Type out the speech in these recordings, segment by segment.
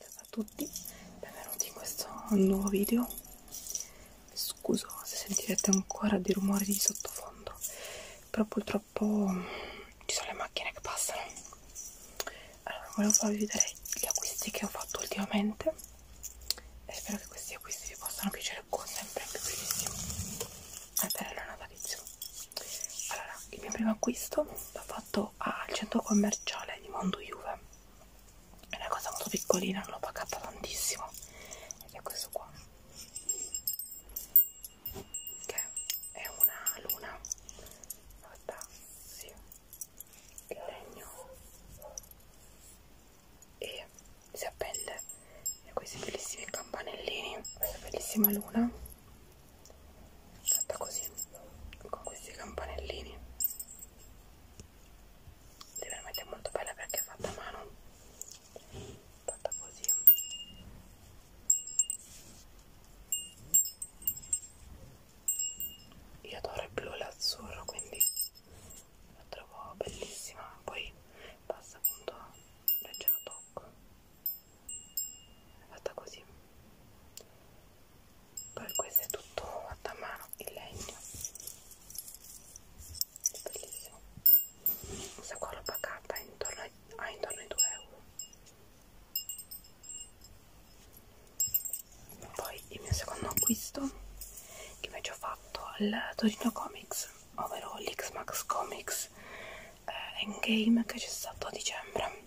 Ciao a tutti, benvenuti in questo nuovo video. Scuso se sentirete ancora dei rumori di sottofondo, però purtroppo ci sono le macchine che passano. Allora, volevo farvi vedere gli acquisti che ho fatto ultimamente e spero che questi acquisti vi possano piacere con sempre più brevissimo. È bello natalizio. Allora, il mio primo acquisto l'ho fatto fatto al centro commerciale di Mondo Juve è una cosa molto piccolina non l'ho pagata tantissimo ed è questo qua che è una luna fatta sì, in legno e si appende e questi bellissimi campanellini questa bellissima luna fatta così con questi campanellini è veramente molto bella perché è fatta a mano fatta così io adoro il blu e l'azzurro quindi la trovo bellissima poi passa appunto a leggero tocco è fatta così poi questo è tutto fatto a mano in legno è bellissimo questa qua l'ho pagata intorno ai, ah, intorno ai 2 euro poi il mio secondo acquisto che invece ho fatto al Torino Comics ovvero l'X-Max Comics eh, Endgame che c'è stato a dicembre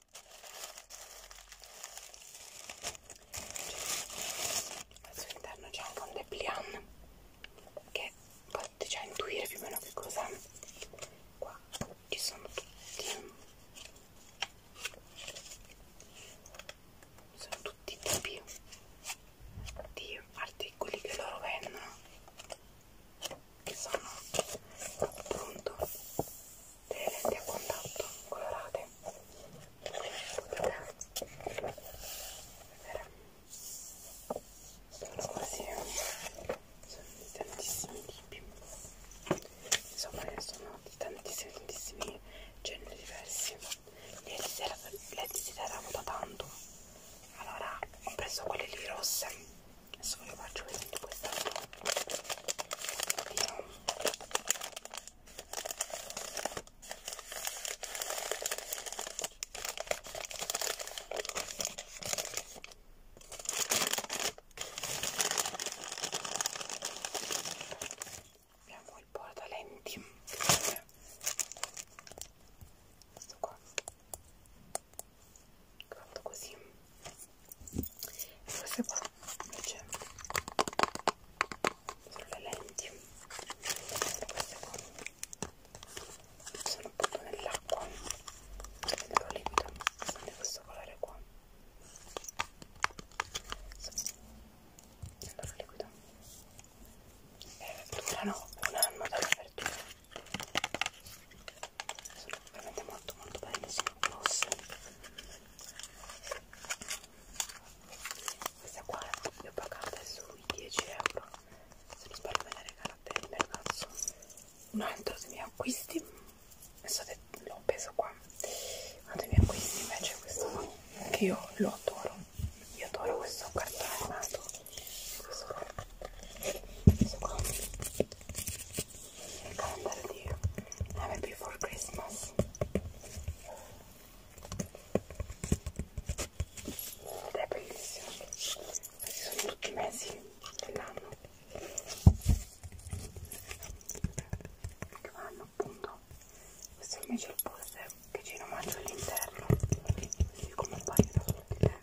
Cioè, al suo interno c'è anche un dépliant che potete già intuire più o meno che cos'è qua ci sono tutti sono tutti i tipi di articoli che loro vendono che sono appunto delle lenti a contatto colorate potete vedere sono quasi sono di tantissimi tipi insomma sono di tantissimi tantissimi generi diversi lenti si erano da tanto allora ho preso quelle lì rosse adesso ve le faccio vedere questa qui Abbiamo il portalenti questo qua fatto così e queste qua invece sono le lenti queste qua sono appunto nell'acqua nel liquido sono di questo colore qua allora liquido e eh, durano un anno dall'apertura sono veramente molto molto belle sono grosse questa qua l'ho pagata sui 10 euro se non sbaglio me la regalate il ragazzo un altro dei miei acquisti l'ho preso qua uno dei miei acquisti invece è questo qua che io lo adoro io adoro questo cartone animato questo qua questo qua remember you never before Christmas. Ed è bellissimo, questi sono tutti i mesi dell'anno che vanno appunto. Questo invece è il polse che ci romanzo all'interno, così come un paio da sottile.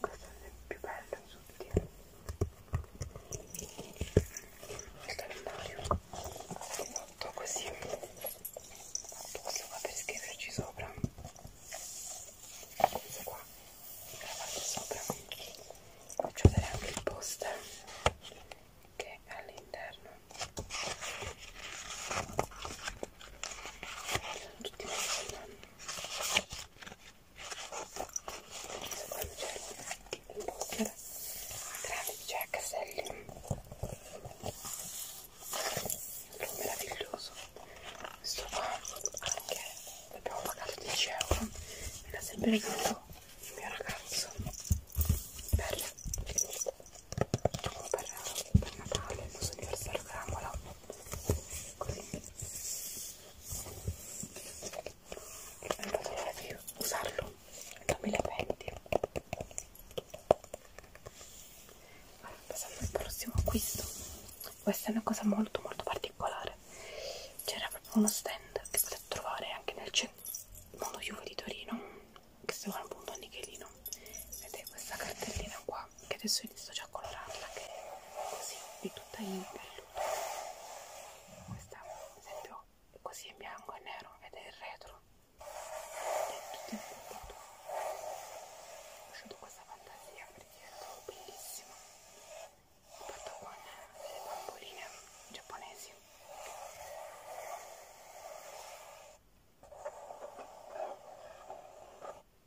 Questo è il più bello sottile il calendario fatto così questo qua per scriverci sopra questo qua la parte sopra faccio vedere anche il poster che è all'interno sono tutti messi si può mangiare anche un buster tramite a caselli è meraviglioso questo qua anche l'abbiamo pagato 10 euro me l'ha sempre regalato il mio ragazzo per, per, per Natale il suo anniversario caramola così non potrò più usarlo da 1020 allora, passando al prossimo acquisto questa è una cosa molto molto particolare c'era proprio uno stand che potete trovare anche nel centro mondo Juve di Torino che si chiama appunto Nichelino ed è questa cartellina qua che adesso inizio già a colorarla che è così di tutta in velluto questa per esempio è così in bianco e nero ed è il retro è tutto in velluto ho lasciato questa fantasia perché la trovo bellissima ho fatto con delle bamboline giapponesi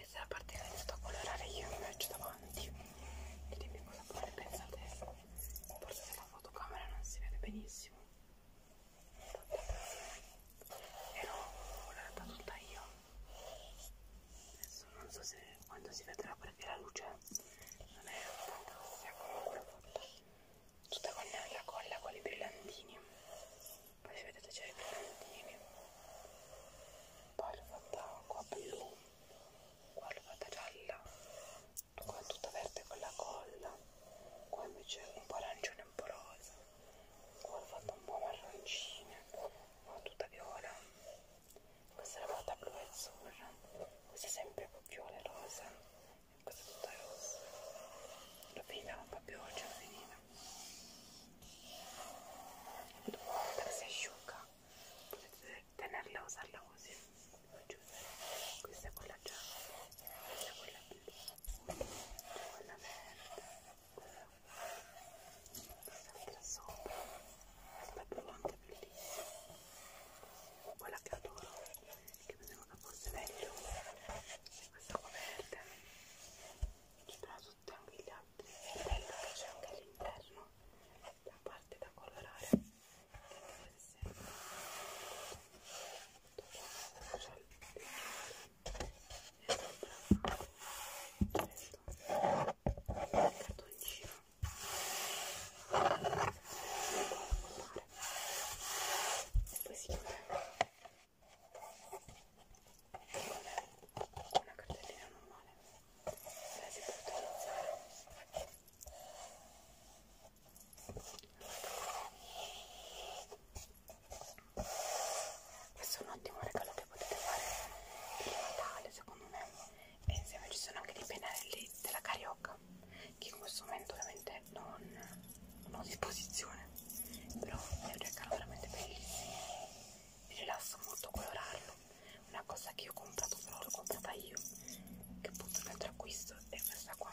e se la partita è iniziata a colorare io mi faccio davanti e dimmi cosa poi ne pensate forse se la fotocamera non si vede benissimo ero colorata tutta io adesso non so se quando si vedrà perché la luce non è fantastica come quella fatta tutta con la colla con i brillantini poi vedete c'è i brillantini poi l'ho fatta qua blu qua l'ho fatta gialla qua tutta verde con la colla qua invece un po' arancione un po' rosa qua l'ho fatta un po' marroncina qua tutta viola questa l'ho fatta blu e azzurra questa è sempre più viola e rosa questo è tutto rosso l'ho finita ma un po' più oggi l'ho finita dopo quando si asciuga potete tenerla e usarla così questa è quella gialla questa è quella blu quella verde quella questa sopra questa blu anche bellissima quella che adoro che vedevo che fosse meglio questa qua verde ci però tutti anche gli altri è bello che c'è anche all'interno la parte da colorare che deve essere molto c'è il e il cartoncino e poi si chiude con una cartellina normale la si può utilizzare questo è un ottimo regalo che potete fare per Natale secondo me e insieme ci sono anche dei pennelli della carioca che in questo momento veramente non, non ho disposizione però è un regalo veramente bellissimo mi rilassa molto colorarlo una cosa che io ho comprato però l'ho comprata io che appunto un altro acquisto è questa qua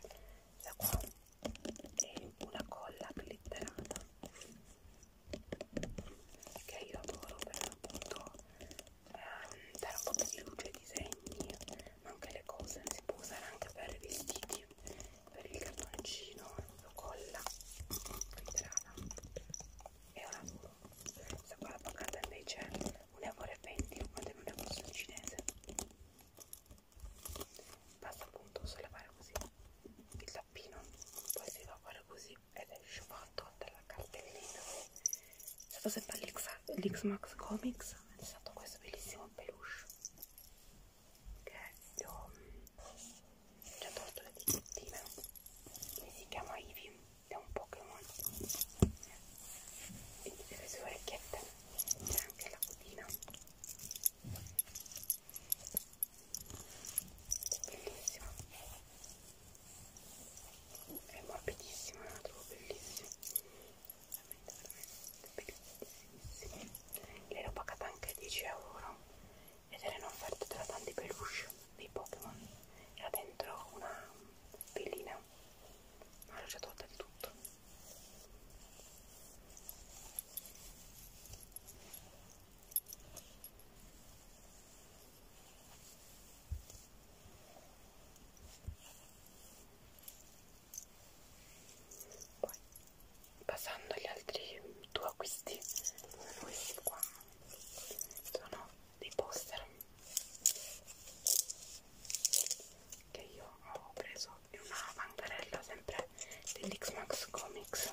questa qua è una colla glitterata che io adoro per appunto eh, dare un po' più di luce ai disegni, ma anche le cose si può usare anche per i vestiti, per il cartoncino, la colla, ritrana. È un lavoro. Questa qua la pagata invece è 1,20 euro quando non è un costo cinese. Basta appunto sollevare così il tappino, poi si va a fare così ed esce fatto dalla cartellina è stato sempre l'X-Max Comics è stato questo bellissimo peluche che gli ho mm, già tolto le etichettine lui si chiama Ivy è un Pokémon e tutte le sue orecchiette c'è anche la cotina bellissimo è morbidissima, la trovo bellissima veramente veramente bellissima l'hai pagata anche 10 euro ed era in offerta tra tanti peluche dei Pokémon era dentro una velina ma l'ho già tolta di tutto poi, passando agli altri due acquisti, questi qua sono dei poster che io ho preso in una bancarella sempre dell'X-Max Comics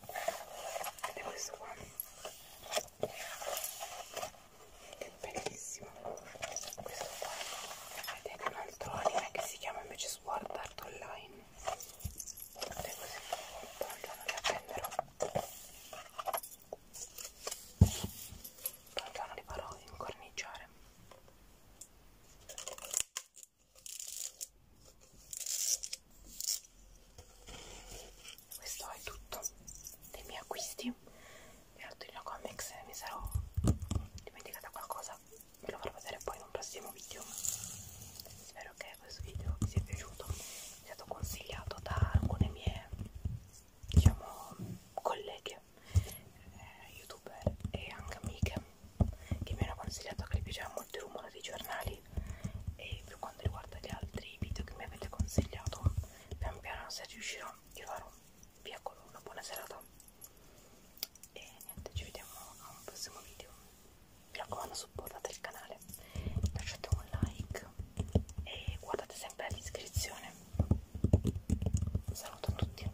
ed è questo qua che è bellissimo questo qua ed è un altro anime che si chiama invece Sword Art Online ed è così tanto non le appenderò tanto non li farò incorniciare questo è tutto dei miei acquisti. Per Torino Comics mi sarò dimenticata qualcosa, ve lo farò vedere poi in un prossimo video. Spero che questo video vi sia piaciuto, è stato consigliato da alcune mie diciamo colleghe eh, youtuber e anche amiche che mi hanno consigliato che le piaceva molto il rumore dei giornali altri e per quanto riguarda gli altri video che mi avete consigliato pian piano se riuscirò vi farò via con una buona serata e niente ci vediamo a un prossimo video mi raccomando supportate il canale lasciate un like e guardate sempre la descrizione saluto a tutti